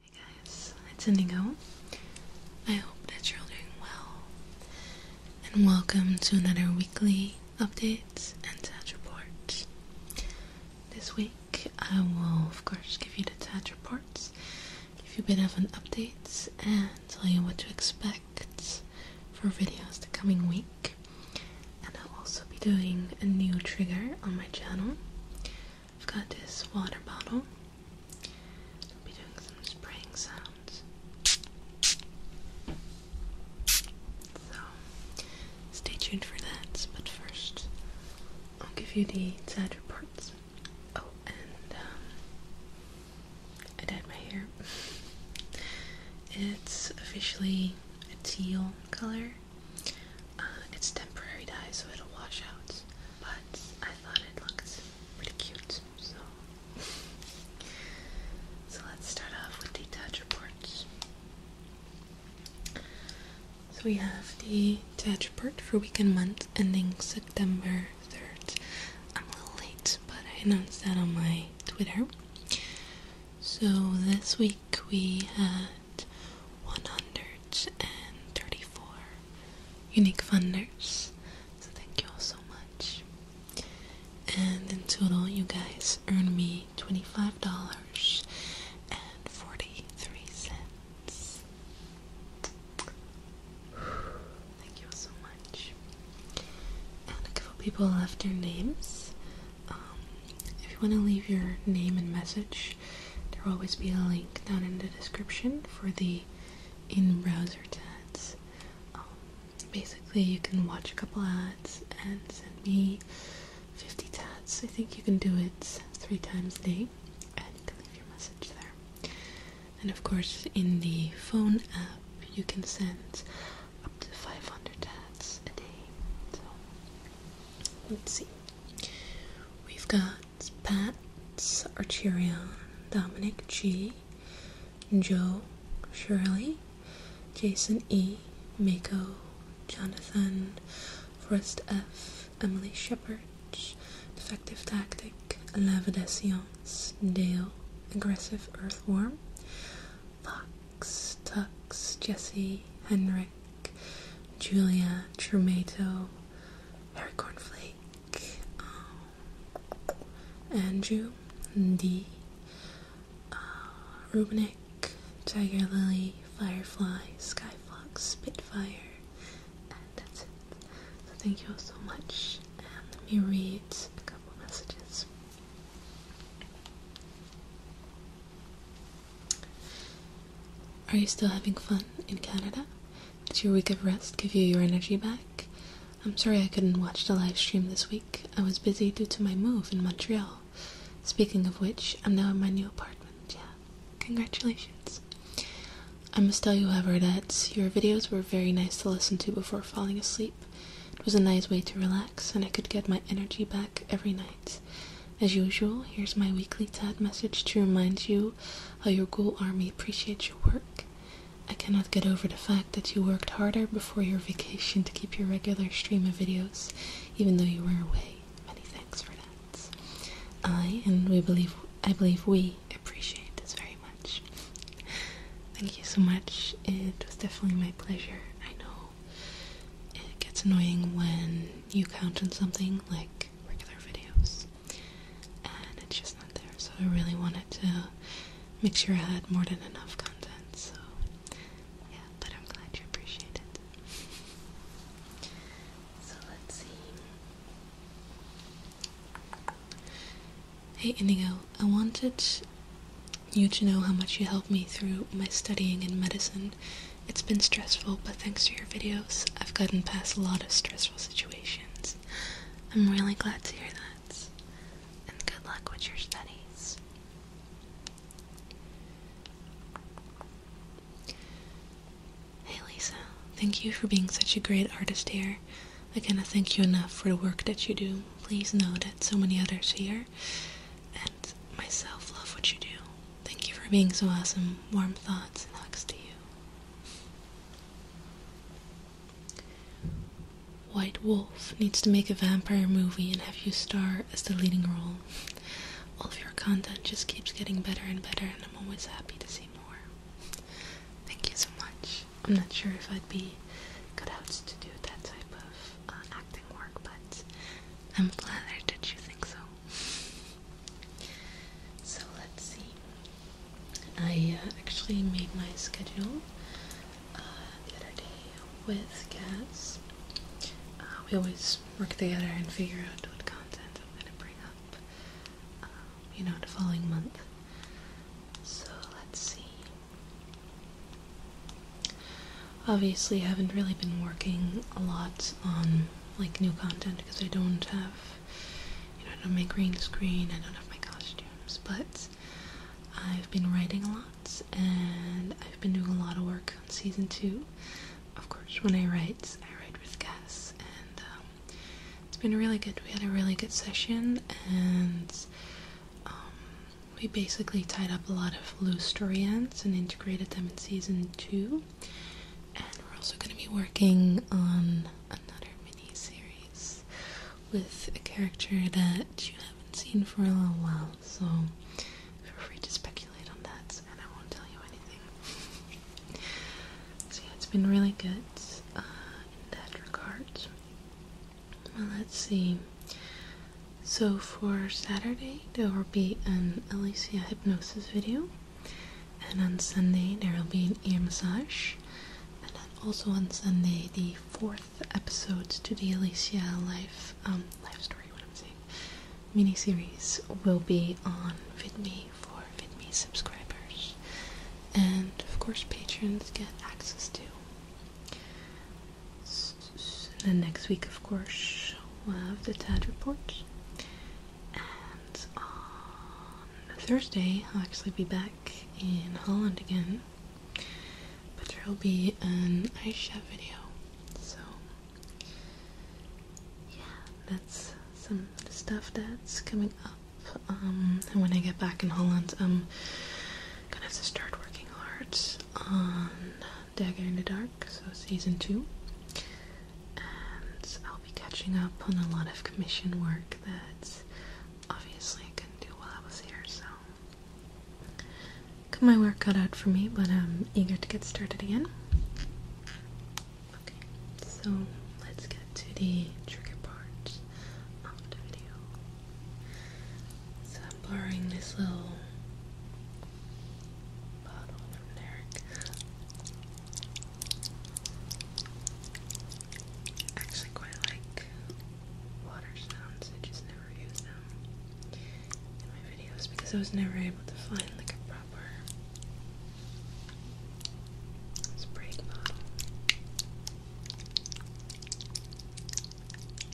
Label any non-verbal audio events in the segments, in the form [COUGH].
Hey guys, it's Indigo. I hope that you're all doing well. And welcome to another weekly update and TAT report. This week I will of course give you the TAT reports, give you a bit of an update and tell you what to expect for videos the coming week. And I'll also be doing a new trigger on my channel. I've got this water bottle. I'll be doing some spraying sounds. So, stay tuned for that, but first, I'll give you the sad reports. Oh, and um, I dyed my hair. [LAUGHS] It's officially a teal color. Uh, it's temporary dye, so it'll wash out. But I thought it looked pretty cute, so. let's start off with the Tatch reports. So we have the Tatch report for week and month ending September 3rd. I'm a little late, but I announced that on my Twitter. So this week we had 134 unique funders. So thank you all so much. And in total, you guys earned me $25.43. Thank you all so much. And a couple people left their names. Um, if you want to leave your name and message, there will always be a link down in the description for the in-browser ads. Um, basically, you can watch a couple ads and send me 50 tats. I think you can do it three times a day, and leave your message there. And of course, in the phone app, you can send up to 500 tats a day. So, let's see. We've got Pat, Archerion, Dominic G, Joe Shirley, Jason E, Mako, Jonathan, Forest F, Emily Shepard, Defective Tactic, Lava de Science, Dale, Aggressive Earthworm, Fox, Tux, Jesse, Henrik, Julia Trumato, Harry Cornflake, um, Andrew D, Rubenick, uh, Rubinick, Tiger Lily, Firefly, Skyfox, Spitfire, and that's it. So thank you all so much, and let me read a couple messages. Are you still having fun in Canada? Did your week of rest give you your energy back? I'm sorry I couldn't watch the live stream this week. I was busy due to my move in Montreal. Speaking of which, I'm now in my new apartment. Yeah. Congratulations. I must tell you, however, that your videos were very nice to listen to before falling asleep. It was a nice way to relax, and I could get my energy back every night. As usual, here's my weekly TAD message to remind you how your Ghoul Army appreciates your work. I cannot get over the fact that you worked harder before your vacation to keep your regular stream of videos, even though you were away. Many thanks for that. I and we believe I believe we appreciate this very much. Thank you so much. It was definitely my pleasure. I know it gets annoying when you count on something like regular videos. And it's just not there. So I really wanted to make sure I had more than enough content. So yeah, but I'm glad you appreciate it. So let's see. Hey Indigo, I wanted you to know how much you helped me through my studying in medicine it's been stressful, but thanks to your videos, I've gotten past a lot of stressful situations. I'm really glad to hear that. And good luck with your studies. Hey Lisa, thank you for being such a great artist here. I cannot thank you enough for the work that you do. Please know that so many others here and myself love what you do. Thank you for being so awesome. Warm thoughts and hugs to you. White Wolf needs to make a vampire movie and have you star as the leading role. All of your content just keeps getting better and better, and I'm always happy to see more. Thank you so much. I'm not sure if I'd be cut out to do that type of acting. Uh, work, but I'm flattered that you think so. So let's see. I uh, actually made my schedule uh, the other day with Cass. Uh, we always work together and figure out what content I'm gonna bring up, you know, the following month. So let's see. Obviously, I haven't really been working a lot on like new content because I don't have, you know, I green screen, I don't have my costumes, but I've been writing a lot and I've been doing a lot of work on season two. Of course, when I write, I write with gas, and um, it's been really good. We had a really good session, and um, we basically tied up a lot of loose story ends and integrated them in season two. And we're also going to be working on another mini series with a character that you haven't seen for a little while, so feel free to speculate on that, and I won't tell you anything. so, yeah, it's been really good uh, in that regard let's see. So for Saturday, there will be an Alicia hypnosis video. And on Sunday, there will be an ear massage. And then also on Sunday, the fourth episode to the Alicia life, um, life story, what I'm saying, mini-series will be on VidMe for VidMe subscribers. And, of course, patrons get access to and next week, of course, we'll have the TAD report. And Thursday, I'll actually be back in Holland again. But there will be an ice shop video. So, yeah, that's some stuff that's coming up. Um, and when I get back in Holland, I'm gonna have to start working hard is on Dagger in the Dark, so season two. And I'll be catching up on a lot of commission work that obviously I couldn't do while I was here, so. Got my work cut out for me, but I'm eager to get started again. Okay, so let's get to the trigger part of the video. So I'm borrowing this little bottle from Derek. actually quite like water sounds, I just never use them in my videos because I was never able to find like a proper spraying bottle.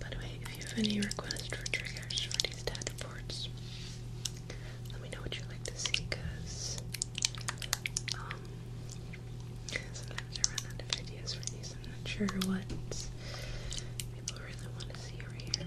By the way, if you have any requests for triggers for these dad let me know what you like to see, cause um, sometimes I run out of ideas for these. I'm not sure what people really want to see over here.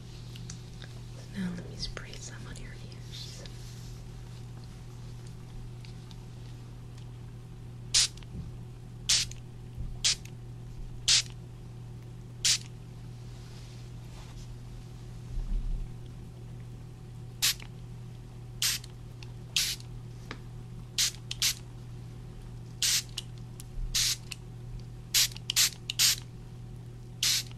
now let me spray some on your ears.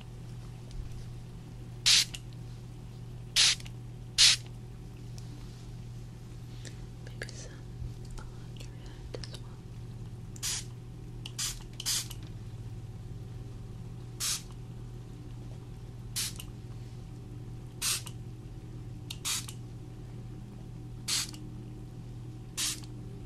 Maybe some on your head as well. Okay.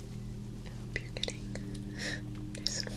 I hope you're getting nice and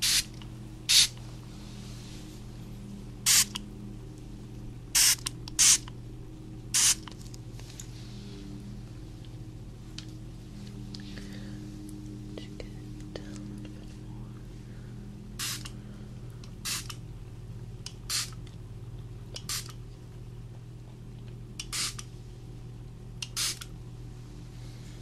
Just get it down a little bit more. Okay.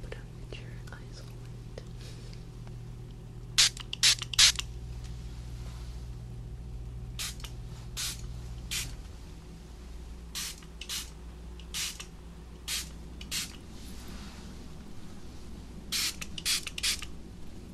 Put up your eyes Okay.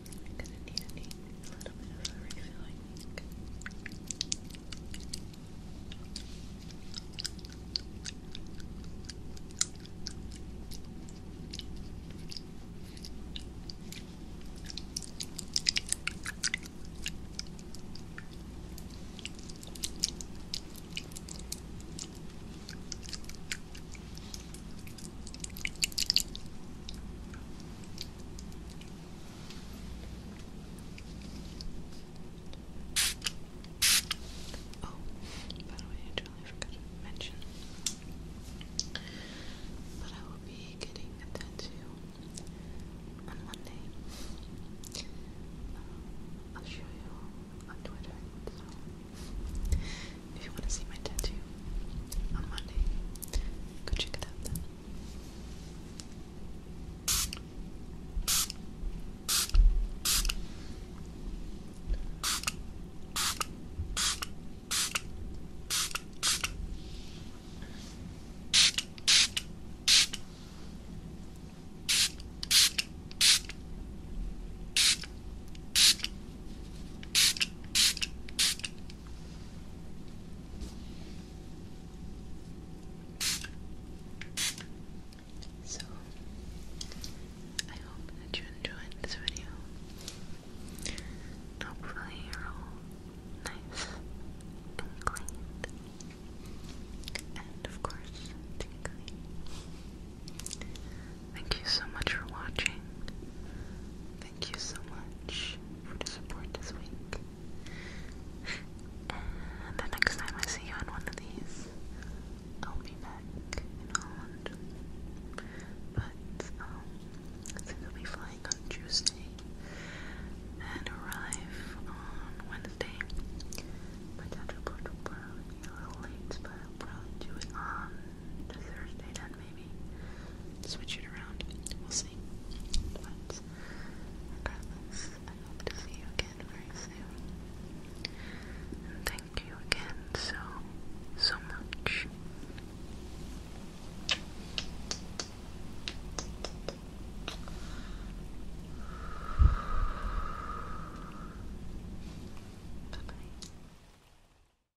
I'm gonna need a, little bit of refilling. Oh, by the way, I totally forgot to mention. But um, I will be getting a tattoo on Monday. I'll show you on Twitter. So if you want to see my tattoo on Monday, Go check it out then. So, I hope that you enjoyed this video. Hopefully, you're all nice clean. And of course, tingly. Thank you so much for watching. Thank you so much for the support this week. And the next time I see you on one of these, I'll be back in Holland. But, um, will be flying on Tuesday and arrive on Wednesday. My dad will probably be a little late, but I'll probably do it on Thursday then, maybe switch it around. We'll see. But regardless, I hope to see you again very soon. And thank you again so, so much. Bye bye.